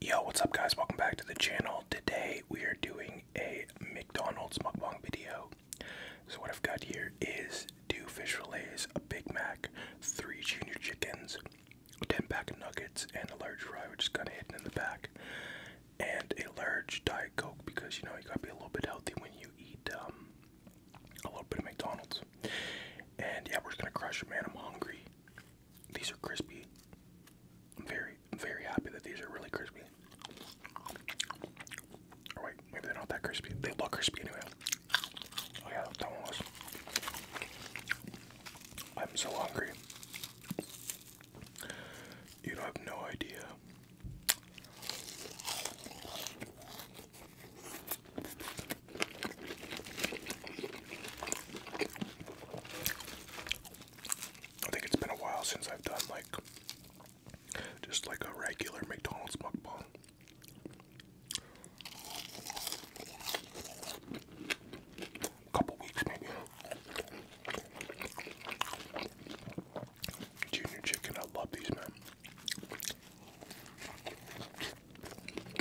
Yo, what's up guys? Welcome back to the channel. Today we are doing a McDonald's mukbang video. So what I've got here is two fish fillets, a Big Mac, three junior chickens, 10 pack of nuggets, and a large fry which is kind of hidden in the back, and a large Diet Coke because you know you gotta be a little bit healthy when you eat um, a little bit of McDonald's. And yeah, we're gonna crush it, man. I'm hungry. These are crispy. I'm very, very happy that these are really crispy. Oh, All right, maybe they're not that crispy. They look crispy anyway. Oh yeah, that one was. I'm so hungry. You have no idea. I think it's been a while since I've done like just like a regular McDonald's mukbang. A couple weeks maybe. Junior chicken, I love these man.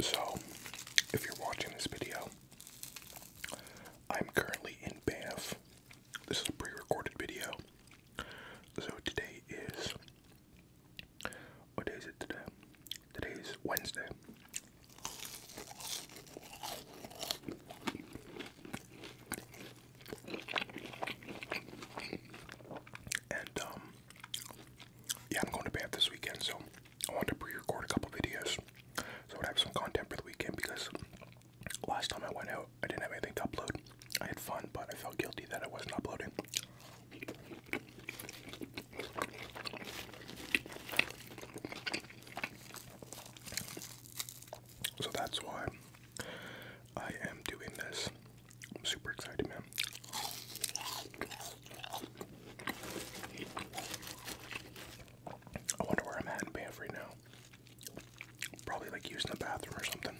So, if you're watching this video, I'm currently in Banff. This is a pre-recorded video. So today is what it today? Today is Wednesday. And um yeah, I'm going to Bath this weekend, so I wanted to pre-record a couple videos so I'd have some content for the weekend because last time I went out, I didn't have anything to upload. I had fun, but I felt guilty that I wasn't uploading. So that's why I am doing this. I'm super excited, man. I wonder where I'm at in now. Probably like using the bathroom or something.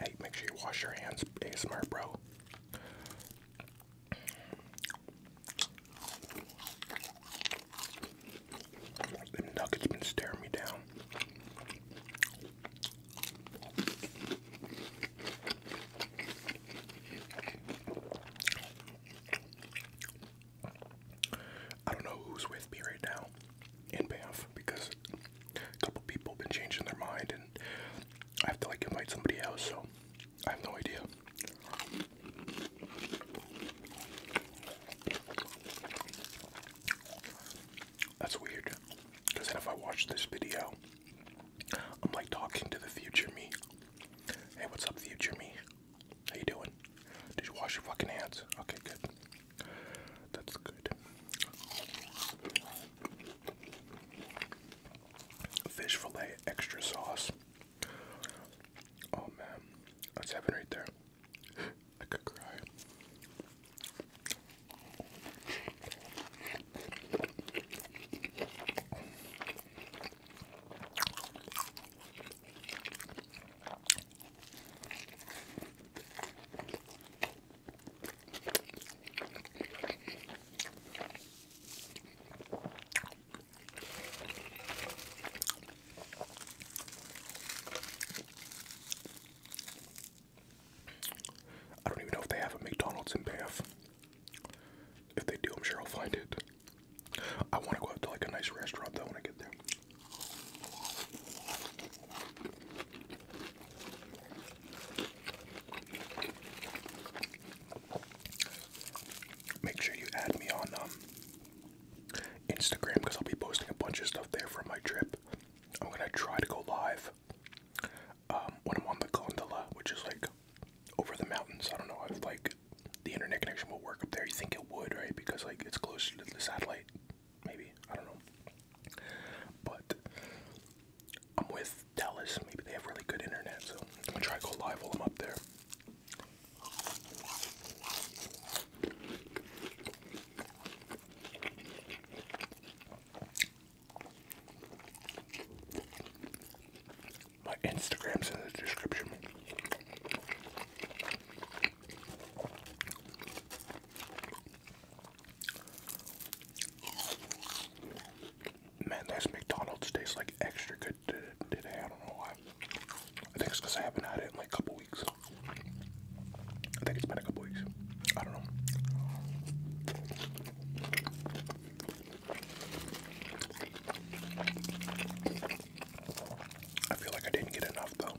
Hey, make sure you wash your hands, ASMR, bro. Them nuggets been staring me down. I don't know who's with me right now in Banff because a couple people been changing their mind and I have to like invite somebody else, so I have no idea. That's weird because if I watch this video, I'm like talking to the future me. Hey, what's up, future me? How you doing? Did you wash your fucking hands? Okay, good. That's good. Fish fillet, extra sauce. Oh man, that's heaven right there. I could cry. I don't even know if they have a McDonald's in Bath. If they do, I'm sure I'll find it. I want to go out to like a nice restaurant though when I get there. Make sure you add me on um, Instagram because I'll be posting a bunch of stuff there from my trip. I'm gonna try to go live. Um, when I'm on the gondola, which is like over the mountains. I don't know if like the internet connection will work up there. You think it would, right? Because like it's close to the satellite, maybe. I don't know. But I'm with Dallas. Maybe they have really good internet, so I'm gonna try to go live while I'm up there. My Instagram's in the description. Man, this McDonald's tastes like extra good today. I don't know why. I think it's because I haven't had it in like a couple weeks. I think it's been a couple weeks. I don't know. I feel like I didn't get enough though.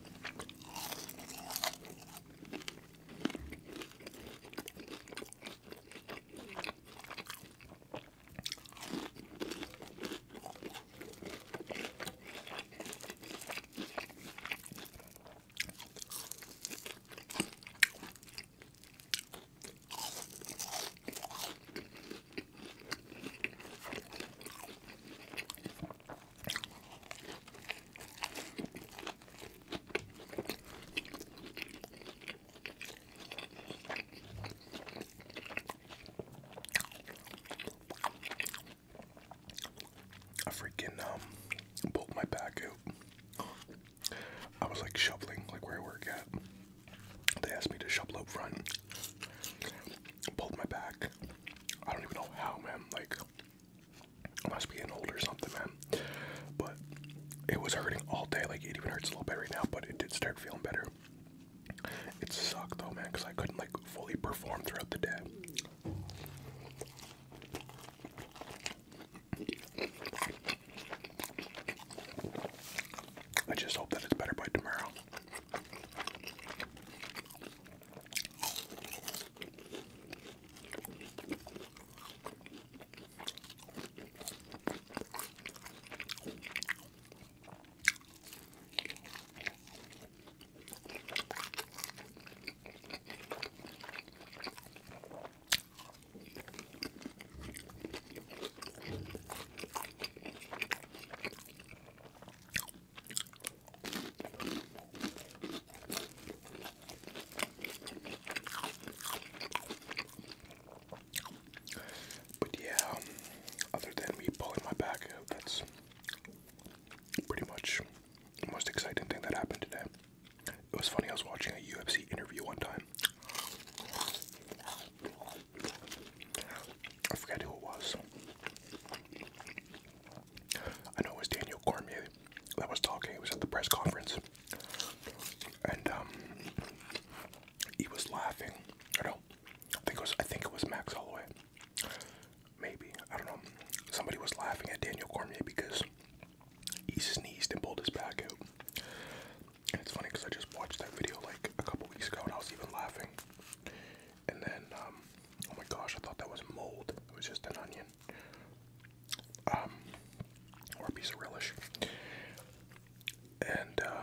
I freaking um, pulled my back out. I was like shoveling, like where I work at. They asked me to shovel out front. Pulled my back. I don't even know how, man. Like, must be getting old or something, man. But it was hurting all day. Like, it even hurts a little bit right now, but it did start feeling better. It sucked though, man, because I couldn't like fully perform throughout the day. I just hope that it's better by tomorrow. But yeah, um, other than me pulling my back uh, that's pretty much the most exciting thing that happened today. It was funny, I was watching a UFC interview one time. I forget who it was. I know it was Daniel Cormier that was talking. He was at the press conference. And um, he was laughing. I do I think it was I think it was Max Holloway. Maybe. I don't know. Somebody was laughing at Daniel Cormier because he sneezed and pulled his back out. it's funny because I just watched that video like a couple weeks ago and I was even laughing. And then, um, oh my gosh, I thought that was mold. It was just an onion. Um, or a piece of relish. And, uh,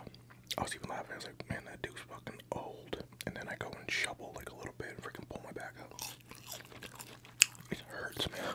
I was even laughing. I was like, man, that dude's fucking old. And then I go and shovel like a little bit and freaking pull my back out. It hurts, man.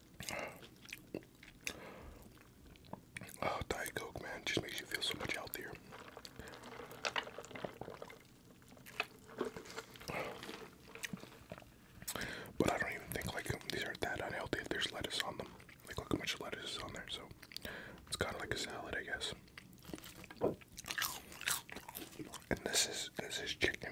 Oh, Diet Coke, man, just makes you feel so much healthier. But I don't even think like um, these are that unhealthy if there's lettuce on them. Like look how much lettuce is on there, so it's kind of like a salad, I guess. And this is this is chicken.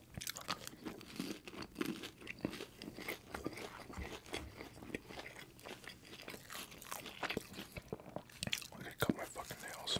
I gotta cut my fucking nails.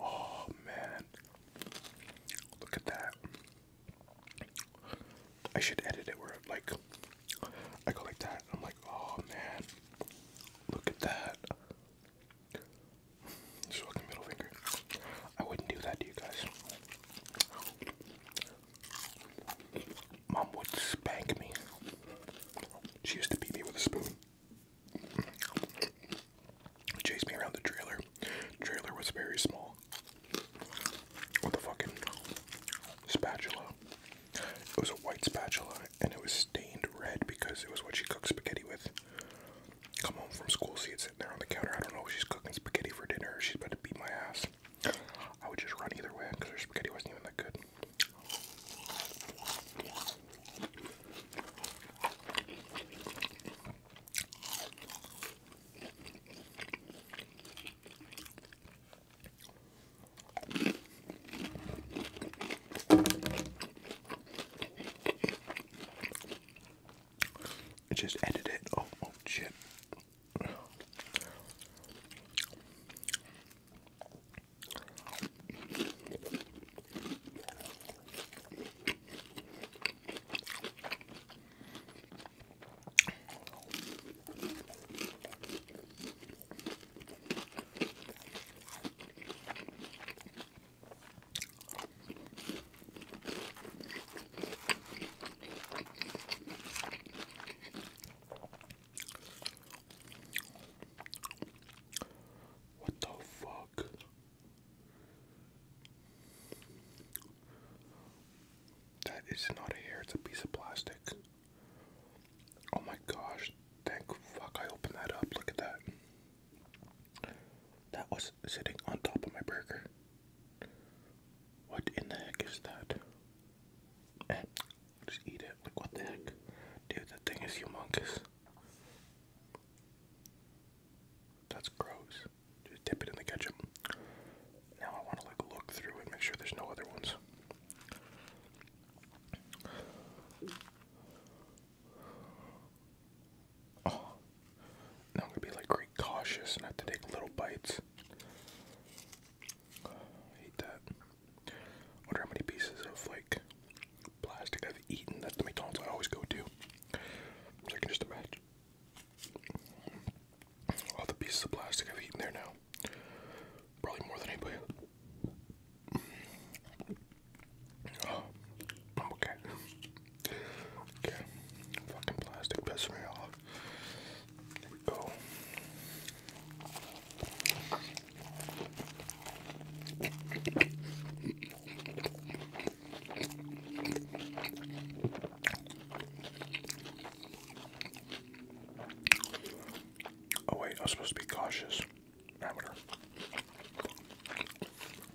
Oh man. Look at that. I should edit it where like I go like that I'm like, oh man. Look at that. Just middle finger. I wouldn't do that to you guys. Mom would spank me. She used to beat me with a spoon. Chase me around the trailer. Trailer was very small. With a fucking spatula. It was a white spatula and it was stained red because it was what she cooked spaghetti with come home from school, see it sitting there on the counter. I don't know she's cooking spaghetti for dinner she's about to beat my ass. I would just run either way because her spaghetti wasn't even that good. Just edit it. Oh, oh shit. What the fuck? That is not a hair, it's a piece of plastic. Oh my gosh, thank fuck I opened that up. Look at that. That was sitting on top of my burger. What in the heck is that? Eh, just eat it. Like, what the heck? Dude, that thing is humongous. That's gross. Just dip it in the ketchup. Now I want to, like, look through and make sure there's no other ones. Oh, now I'm gonna be like very cautious and have to take little bites. hate that. Wonder how many pieces of like plastic I've eaten at the McDonald's I always go to. I can just imagine all the pieces of plastic I've eaten there now. Probably more than anybody. Oh, okay. Okay, fucking plastic pissed me off. go. Oh wait, I was supposed to be cautious. Amateur.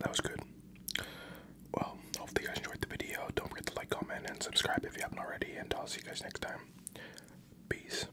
That was good. Well, hopefully you guys enjoyed the video. Don't forget to like, comment, and subscribe if you haven't already, and I'll see you guys next time. Peace.